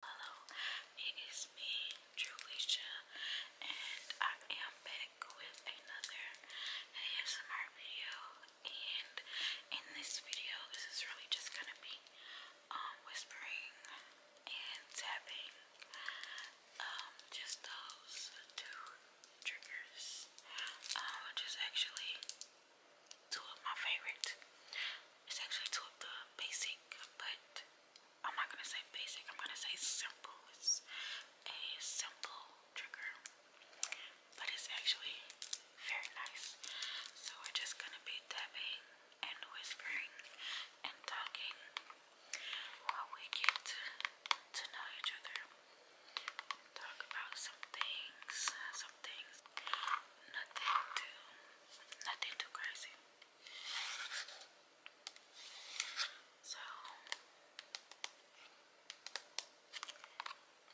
Hello, it is me, Druisha, and I am back with another ASMR video. And in this video, this is really just gonna be um, whispering and tapping, um, just those two triggers, um, which is actually two of my favorite it's actually two of the basic, but I'm not gonna say basic, I'm gonna say simple. It's a simple trigger, but it's actually very nice. So we're just gonna be tapping and whispering and talking while we get to, know each other. Talk about some things, some things, nothing too nothing too crazy. So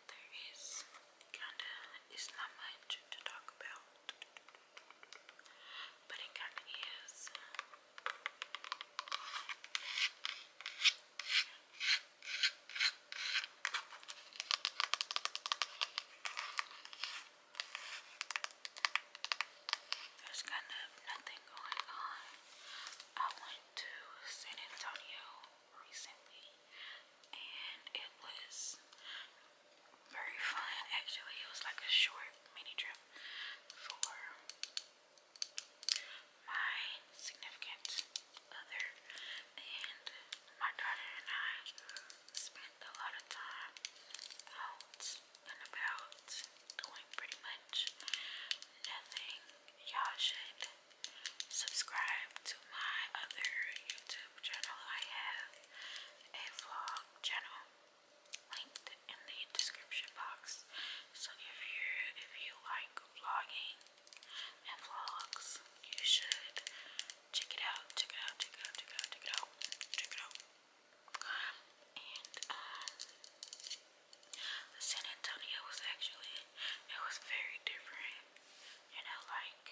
there is kinda it's not much to talk about, but it kinda is. There's kind of nothing going on. I went to San Antonio recently and it was very fun actually. It was like a short mini trip for my significant other. And my daughter and I spent a lot of time out and about doing pretty much nothing. Y'all should subscribe to my other YouTube channel. I have a vlog channel linked in the description box. So if you if you like vlogging and vlogs, you should check it out, check it out, check it out, check it out, check it out, check it out. Um, and um, San Antonio was actually, it was very different. You know, like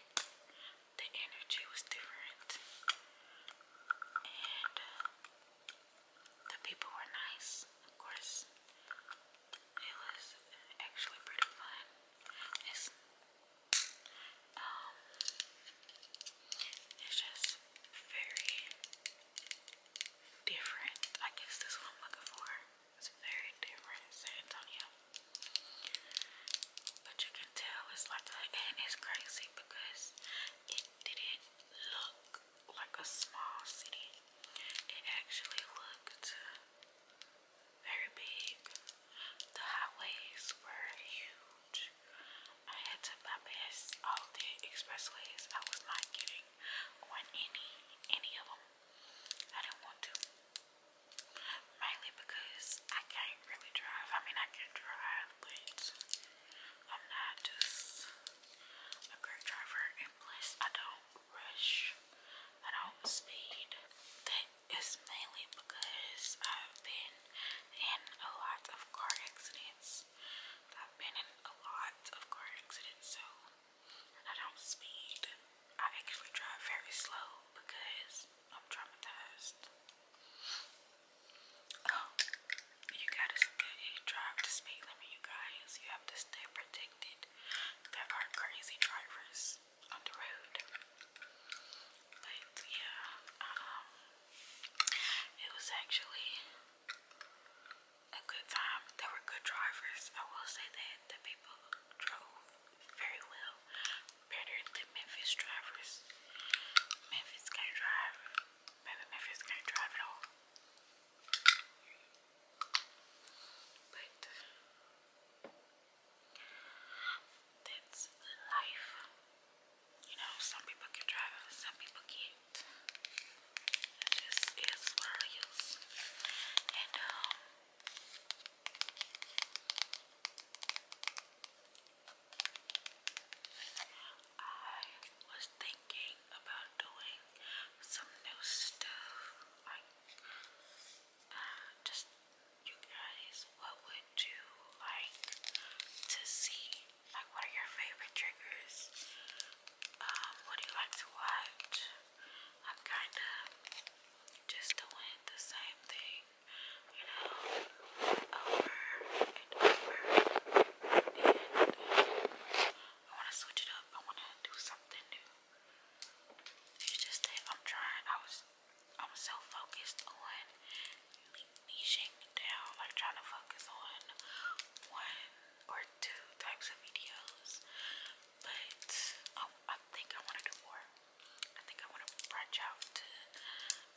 the energy was different, and uh, the people were nice, of course. It was actually pretty fun. It's um it's just very different. I guess that's what I'm looking for. It's very different, San Antonio. But you can tell it's like a, and it's crazy because it didn't look like a small city. It actually looked very big. The highways were huge. I had to bypass all the expressways. I was not getting on any any of them. I didn't want to. Mainly because I can't really drive. I mean I can drive but I'm not just a great driver and plus I don't rush I don't speed. That is mainly because I've been in a lot of car accidents. I've been in a lot of car accidents, so I don't speed. I actually drive very slow because I'm traumatized. Oh, you gotta drive the speed limit, you guys. You have to stay protected. There are crazy drivers on the road. But yeah, um, it was actually a good time. They were good drivers. I will say that the people drove very well, better than Memphis drivers. Memphis can't drive. Maybe Memphis can't drive at all. But that's life. You know, some people can drive, some people can't. This is what I use. And um I was thinking about doing some new stuff. Like, uh, just you guys, what would you like to see? Like, what are your favorite triggers? Um, what do you like to watch? I'm kind of just doing the same thing, you know, over and over. And um, I want to switch it up. I want to do something new. It's just that I'm trying. I was, I'm so focused on niching down, like trying to focus on one or two types of videos. But um, I, think I want to do more. I think I want to branch out to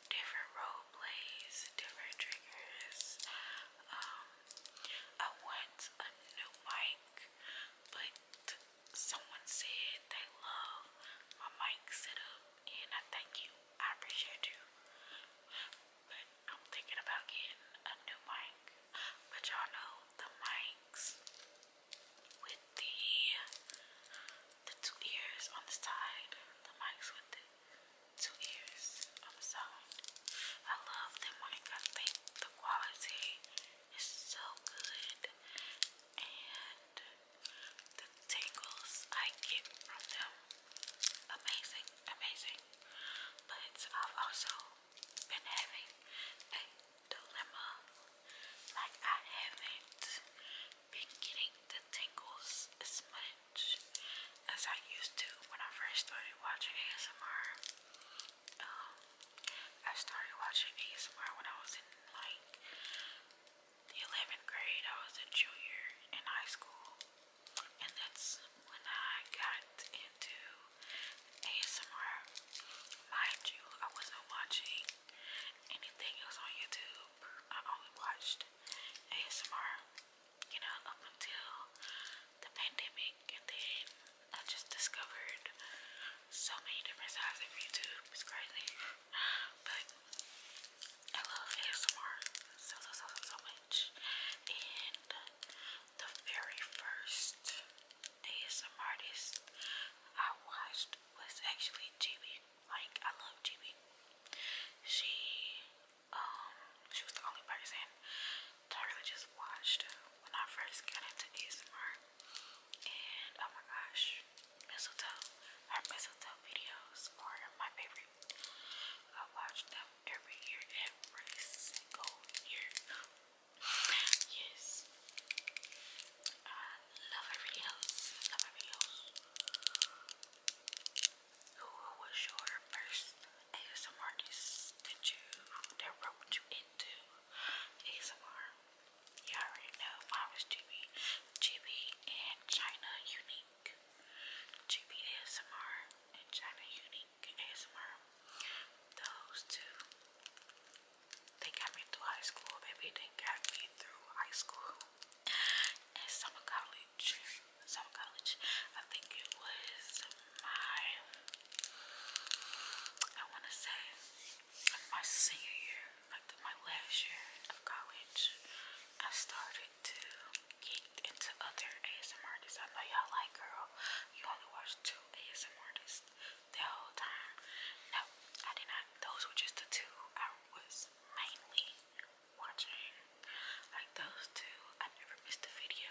different role different triggers. Um, I want a new mic, but someone said they love my mic setup, and I thank you. I appreciate you. But I'm thinking about getting a new mic. But y'all know the mics with the the two ears on the side, the mics with the two ears of a sound. I love them like I think the quality is so good and the tingles I get from them amazing, amazing. But I've also been having a dilemma. Like I haven't been getting the tingles as much as I used to when I first started watching ASMR. Um, I started watching ASMR when I was in like the 11th grade. I was a junior in high school, and that's when I got into ASMR. Mind you, I wasn't watching anything else on YouTube. I only watched ASMR you know, up until the pandemic, and then I just discovered so many different sides of YouTube. It's but I love ASMR so so so so, much. And the very first ASMR artist I watched was actually G B. Like I love G B. She um, she was the only person I really just watched when I first got into ASMR. And oh my gosh, mistletoe, her mistletoe videos are my favorite. I watch them every year, every single year. Yes, love her videos. Love her videos. Who was your first ASMR artist you that wrote you into ASMR? You already know I was GB, GB and China Unique. GB ASMR and China Unique ASMR. Those two, they got me through high school, baby. They got me through high school at summer college. Summer college. I think it was my I wanna say my senior year, like my last year of college, I started to get into other ASMR artists. I know y'all like girl, you only watch two ASMR artists the whole time. No, I did not. Those were just the two I was mainly watching. Like those two, I never missed a video,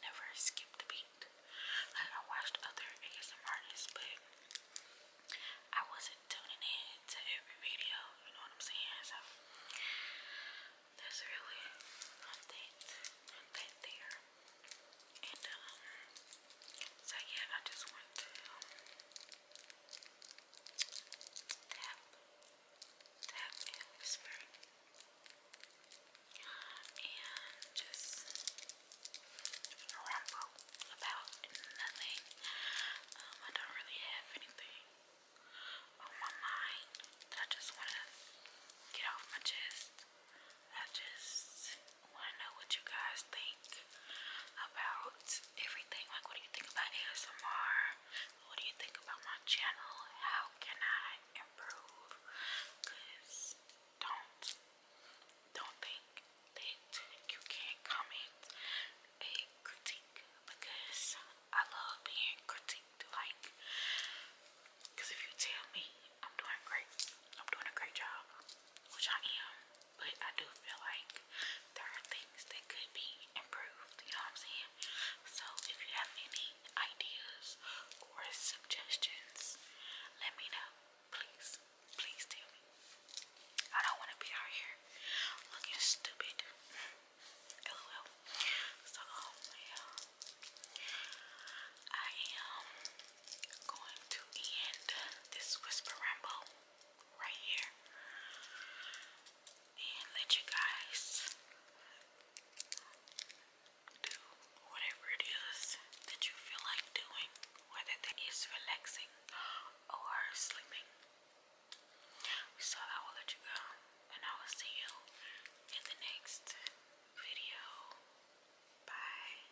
never skipped a beat. Like I watched other ASM but I wasn't tuning in to every video, you know what I'm saying? So that's really one that there. And um so yeah, I just want to um, Tap, tap and whisper. And just ramble about nothing. Um, I don't really have anything on my mind I just want to get off my chest. I just I want to know what you guys think about everything. Like, what do you think about ASMR? What do you think about my channel? How can I improve? Because don't, don't think that you can't comment a critique because I love being critiqued. Like, because if you tell me I'm doing great, I'm doing a great job, which I am but I do feel like there are things that could be improved, you know what I'm saying? So if you have any ideas or suggestions, let me know. Please, please tell me. I don't want to be out here looking stupid. LOL. So, um, I am going to end this whisper ramble right here and let you guys do whatever it is that you feel like doing, whether that is relaxing or sleeping. So I will let you go and I will see you in the next video. Bye.